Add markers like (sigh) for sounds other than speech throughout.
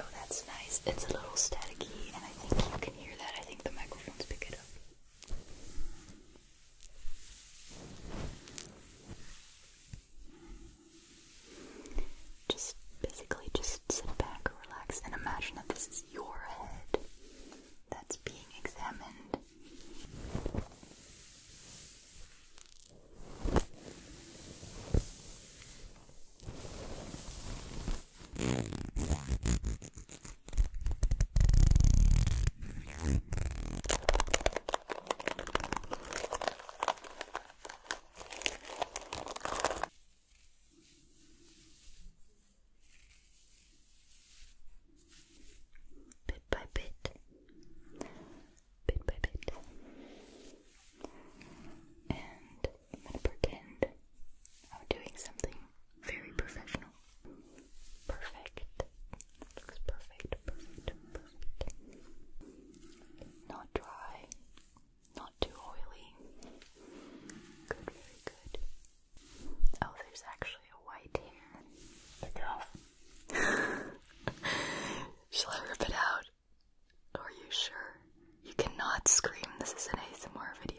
Oh, that's nice. It's a little staticky, and I think you can hear that. I think the microphones pick it up. Just basically just sit back, relax, and imagine that this is your head that's being examined. Bit by bit, bit by bit, and I'm gonna pretend I'm doing something very professional, perfect. Looks perfect, perfect, perfect. Not dry, not too oily. Good, very good. Oh, there's actually a white hair. Take it off. Shall I rip it out? Are you sure? You cannot scream. This is an ASMR video.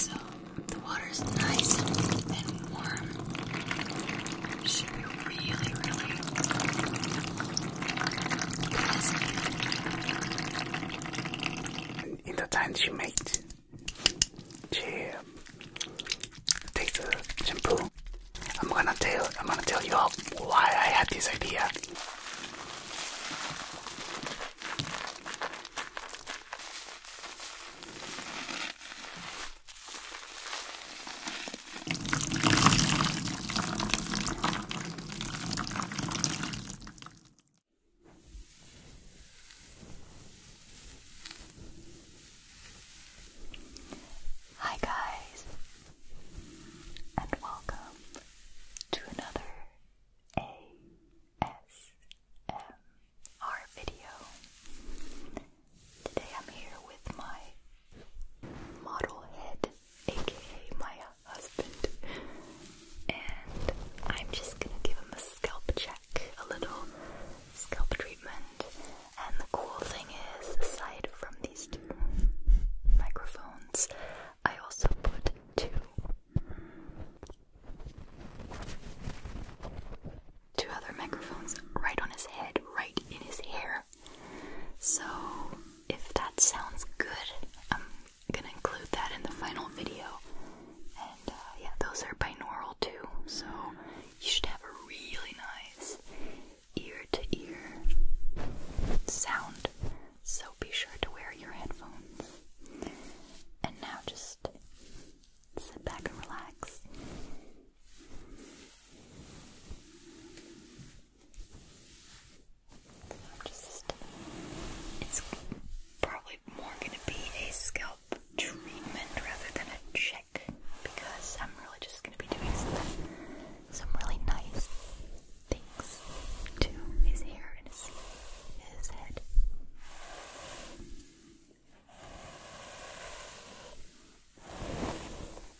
So the water's nice and warm. It should be in the time she makes, she take the shampoo. I'm gonna tell I'm gonna tell you all why I had this idea. Hi, guys, and welcome to another ASMR video. Today I'm here with my model head, aka my husband, and I'm just gonna give him a scalp check, a little scalp treatment. And the cool thing is, aside from these two microphones, I also put two. Two other microphones right on his head, right in his hair. So, if that sounds good, I'm gonna include that in the final video. And uh, yeah, those are binaural too, so you should have a really nice ear to ear sound. So, be sure to wear your headphones. And now just sit back and relax I'm it's probably more going to be a scalp treatment rather than a check because I'm really just going to be doing some, really nice things to his hair and his head.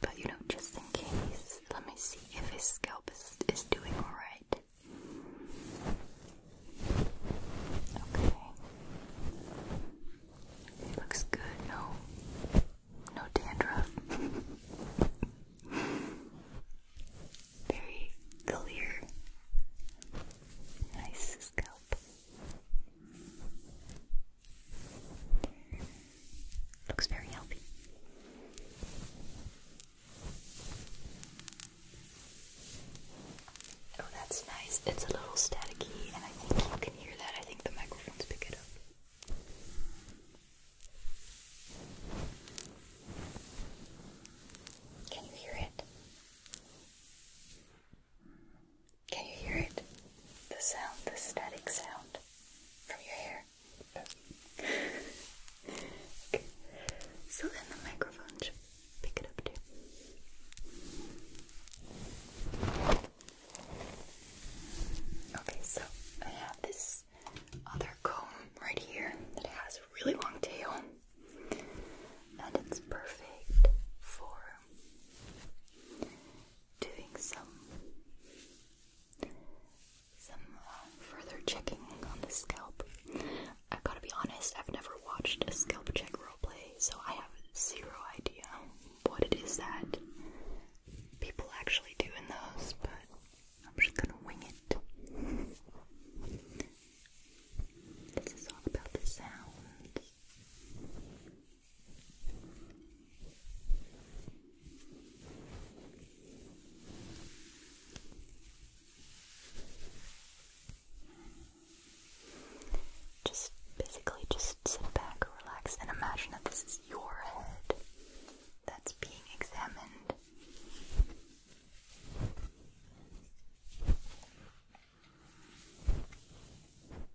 But you know, just in case, let me see if his scalp is, is doing alright. Okay. looks good, no? No dandruff. (laughs) Very clear. Nice scalp. Looks very healthy. Oh, that's nice. It's a little staticky, and I think you can hear that. I think the microphones pick it up. Can you hear it? Can you hear it? The sound, the static sound from your hair. So then the microphone should pick it up too. Okay, so I have this other comb right here that has a really long tail, and it's perfect for doing some some um, further checking on the scalp. I gotta be honest, I've never watched a scalp check role play, so I have zero idea what it is that people actually do in those, but I'm just gonna wing it. This is all about the sound. Just basically just sit back, relax, and imagine that this is your head that's being examined.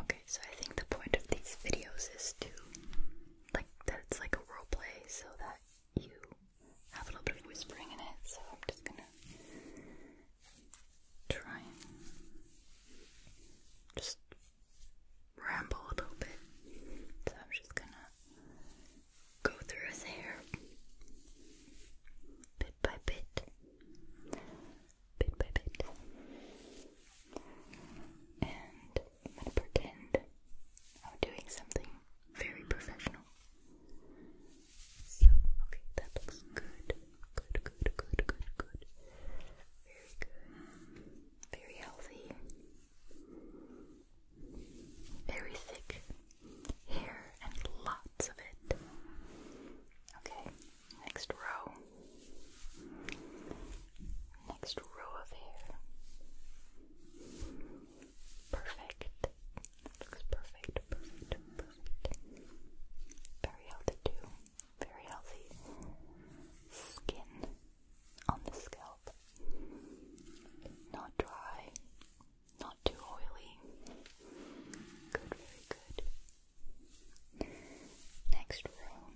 Okay, so I think the point of these videos is to like that it's like a role play so that you have a little bit of whispering in it, so I'm just gonna try and just ramble a little bit. So I'm just gonna go through his hair bit by bit, bit by bit, and I'm gonna pretend I'm doing something very professional. So, okay, that looks good. Good, good, good, good, good very healthy, very thick hair, and lots of it. Okay, next row. Next row of hair. Perfect. Looks perfect, Very healthy, too. Very healthy skin on the scalp. Not dry, not too oily. Good, very good. Next row.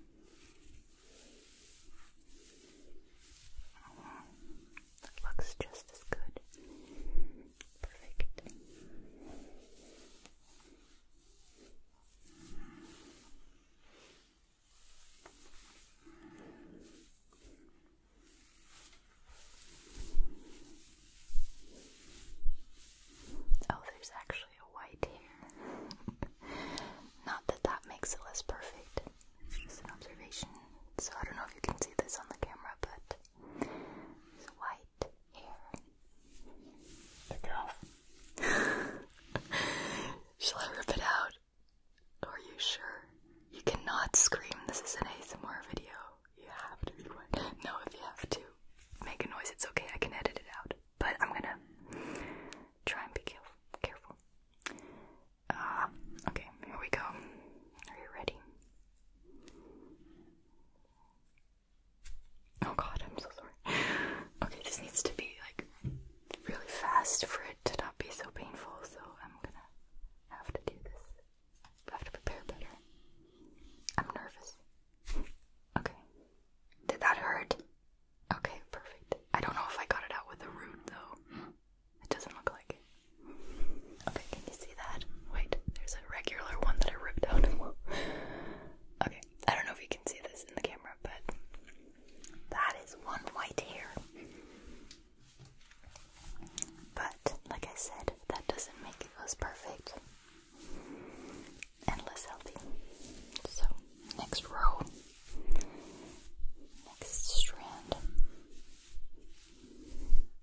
Oh, that looks just as good. Perfect. Oh, there's actually a white here. Not that that makes it less perfect, just an observation. So I don't know if you can see this on the camera, but there's white here. The girl. Shall I rip it out? Are you sure? You cannot scream. This is an ASMR video. You have to be quiet. No, if you have to make a noise, it's okay. I can edit it out. But I'm gonna try and be careful. Careful. Ah, okay. Here we go. Are you ready? Oh God, I'm so sorry. (laughs) Okay, this needs to be like really fast for it to not be so painful, so I'm gonna have to do this. I have to prepare better. I'm nervous. Okay. Did that hurt? Okay, perfect. I don't know if I got it out with a root though. It doesn't look like Okay, can you see that? Wait, there's a regular one that I ripped out. (laughs) okay, I don't know if you can see this in the camera, but that is one white hair. But, like I said, that doesn't make it less perfect. And less healthy. So, next row. Next strand.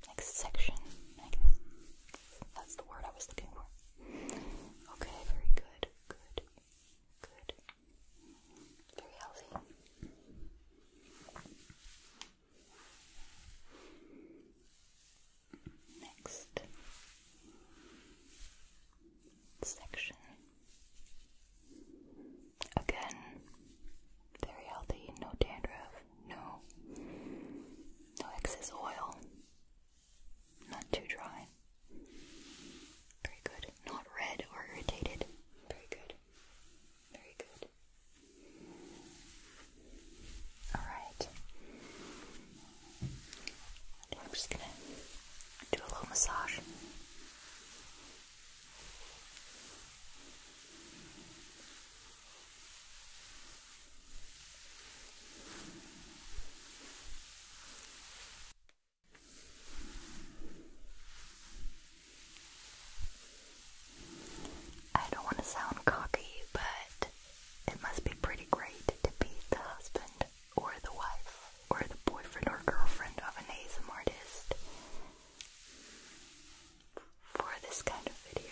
Next section, I guess. That's the word I was looking for. Okay, very good. Good. Good. Very healthy. Next section. Again, very healthy, no dandruff, no no excess oil, not too dry. Very good. Not red or irritated. Very good. Very good. Alright. I'm just gonna do a little massage. I don't want to sound cocky, but it must be pretty great to be the husband or the wife or the boyfriend or girlfriend of an ASM artist for this kind of video.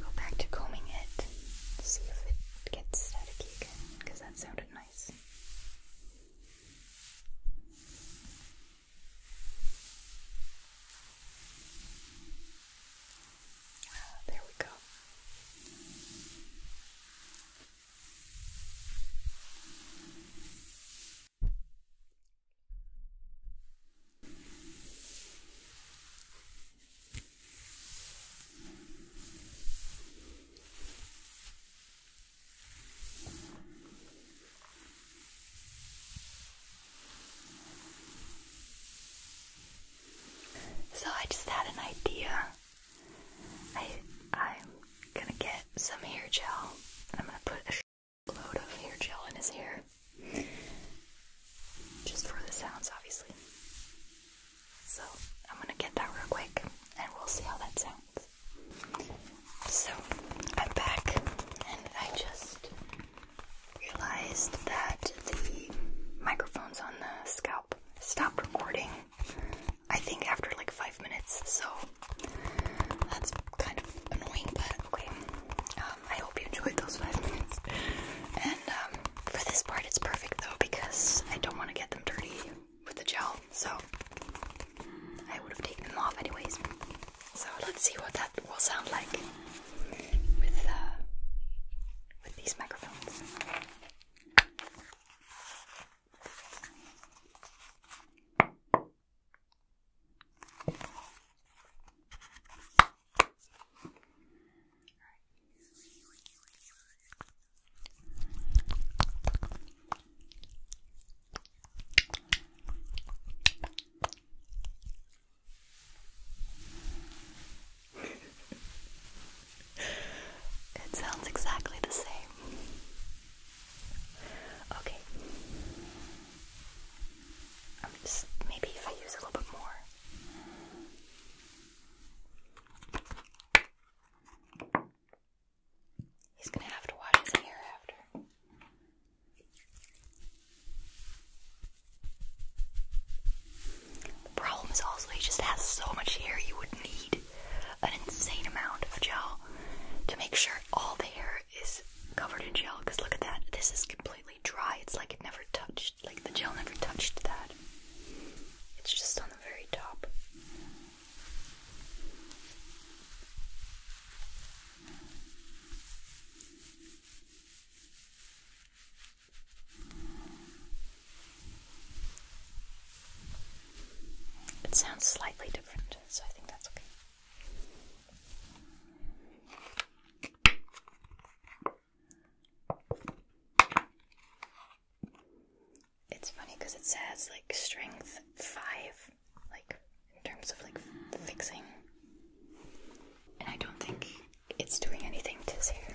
Go back to combing it see if it gets staticky again, because that sounded nice. Ah, there we go. So I just had an idea. I I'm gonna get some hair gel and I'm gonna put a load of hair gel in his hair. Just for the sounds, obviously. So, I'm gonna get that real quick and we'll see how that sounds. So, I'm back and I just realized that the microphones on the scalp stopped recording, I think, after like five minutes. So, that's kind of annoying, but Okay. Um, I hope you enjoyed those five minutes. And um, for this part, it's perfect though because I don't want to get them dirty with the gel, so I would have taken them off anyways. So let's see what that will sound like with uh, with these microphones it sounds exactly the same. Okay maybe if I use a little bit more. He's gonna have to wash his hair after. The problem is also he just has so much hair you would need an insane amount of gel to make sure all the hair is covered in gel because look at that this is complete dry. It's like it never touched, like the gel never touched that. It's just on the very top. It sounds slightly different, so I think that's okay. It's funny because it says like strength five, like in terms of like fixing, and I don't think it's doing anything to his hair.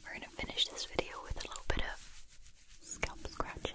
We're going to finish this video with a little bit of scalp scratching.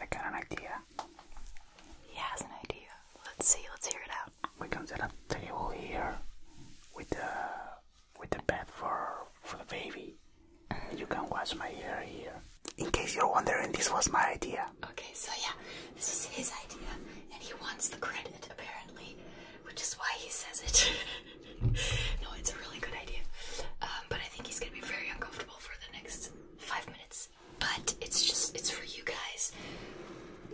I got an idea. He has an idea. Let's see, let's hear it out. We're gonna set up a table here with the with the bed for for the baby. And you can wash my hair here. In case you're wondering, this was my idea. Okay, so yeah, this was his idea, and he wants the credit apparently, which is why he says it. (laughs) no, it's a really good idea. Um, but I think he's gonna be very uncomfortable for the next five minutes. But it's just, it's for you guys.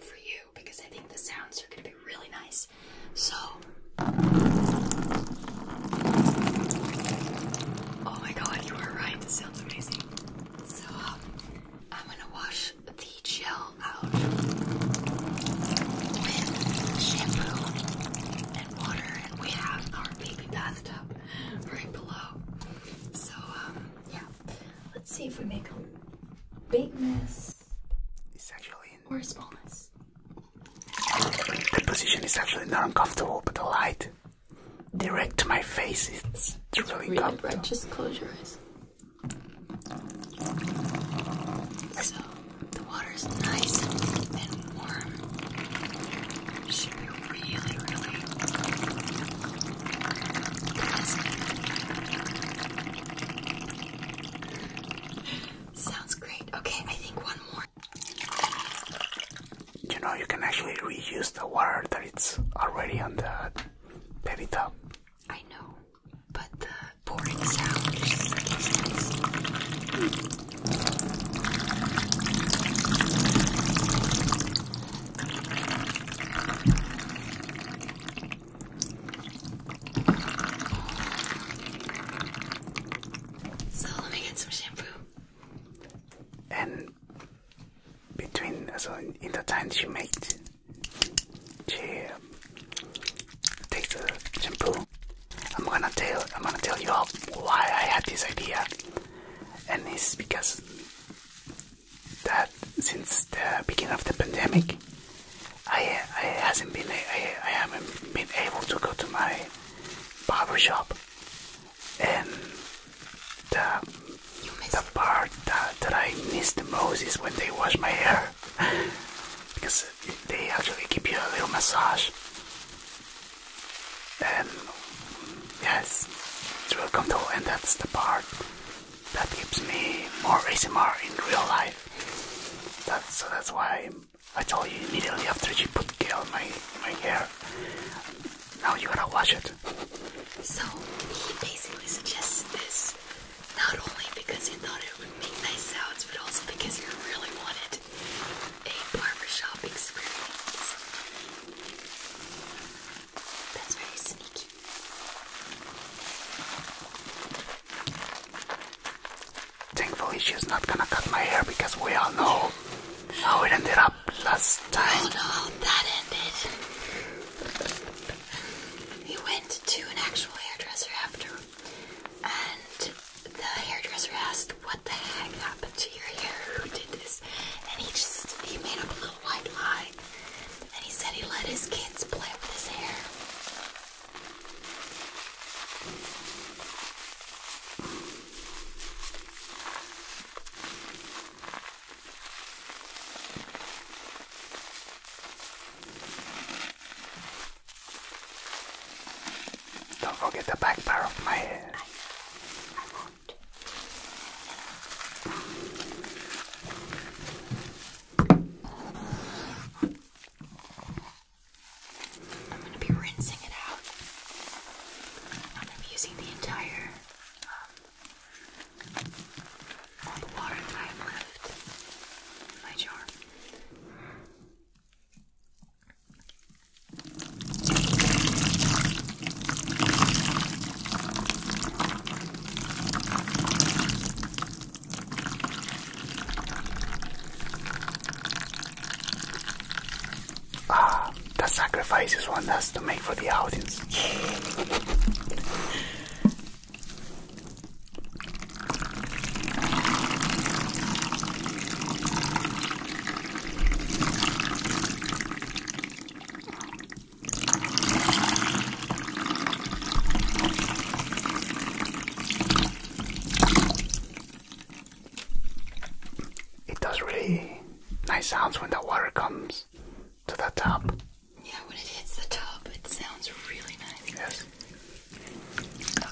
For you, because I think the sounds are gonna be really nice. So. Oh my god, you are right. This sounds amazing. So, um, I'm gonna wash the gel out with shampoo water, and we have our baby bathtub right below. So, um, yeah, let's see if we make a big mess. It's actually in or a small mess. The position is actually not uncomfortable, but the light direct to my face it's, really, Bright. Just close your eyes. So. The water is nice and warm. should be really, really pleasant. Sounds great. Okay, I think one more. You know, you can actually reuse the water that it's already on the baby I know, but uh, pouring So let me get some shampoo. And between so in the times she made she take the shampoo. I'm gonna tell I'm gonna tell you all why I had this idea, and it's because that since the beginning of the pandemic, I I hasn't been I, I haven't been able to go to my barber shop, and the the part that, that I miss the most is when they wash my hair (laughs) because they actually give you a little massage and yes, it will come through, and that's the part that keeps me more ASMR in real life. That's, so that's why I told you immediately after she put gel on my, my hair. Now you want to watch it. So he basically suggested this not only because he thought it would make nice sounds, but also because he really wanted had a barbershop experience. That's very sneaky. Thankfully, she's not gonna cut my hair because we all know how it ended up last time. Oh no, that ended. He went to an actual hairdresser after and the hairdresser asked, What the heck happened to your hair? Who did this? And he just, he made up a little white lie. And he said he let his kids play with his hair. Don't forget the back part of my head. I, won't. I'm going to be rinsing it out. I'm going to be using the entire um, all the water that I have left in my jar. Ah, the sacrifices one has to make for the audience. It does really nice sounds when the water comes to the top. Yeah, when it hits the top, it sounds really nice. Yes.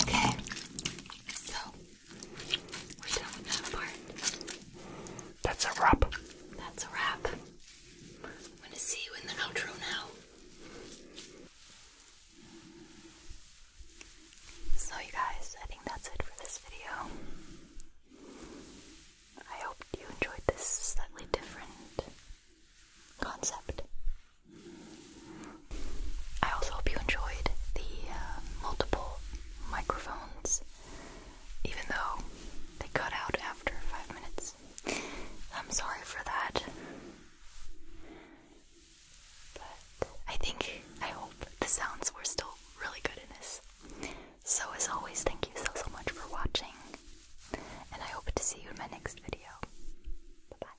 Okay. So we're done with that part. That's a wrap. That's a wrap. I'm going to see you in the outro now. So, you guys, I think that's it for this video. I hope you enjoyed this slightly different concept. I also hope you enjoyed the uh, multiple microphones, even though they cut out after five minutes. I'm sorry for that. But I think, I hope the sounds were still really good in this. So, as always, thank you so, so much for watching, and I hope to see you in my next video. Bye bye.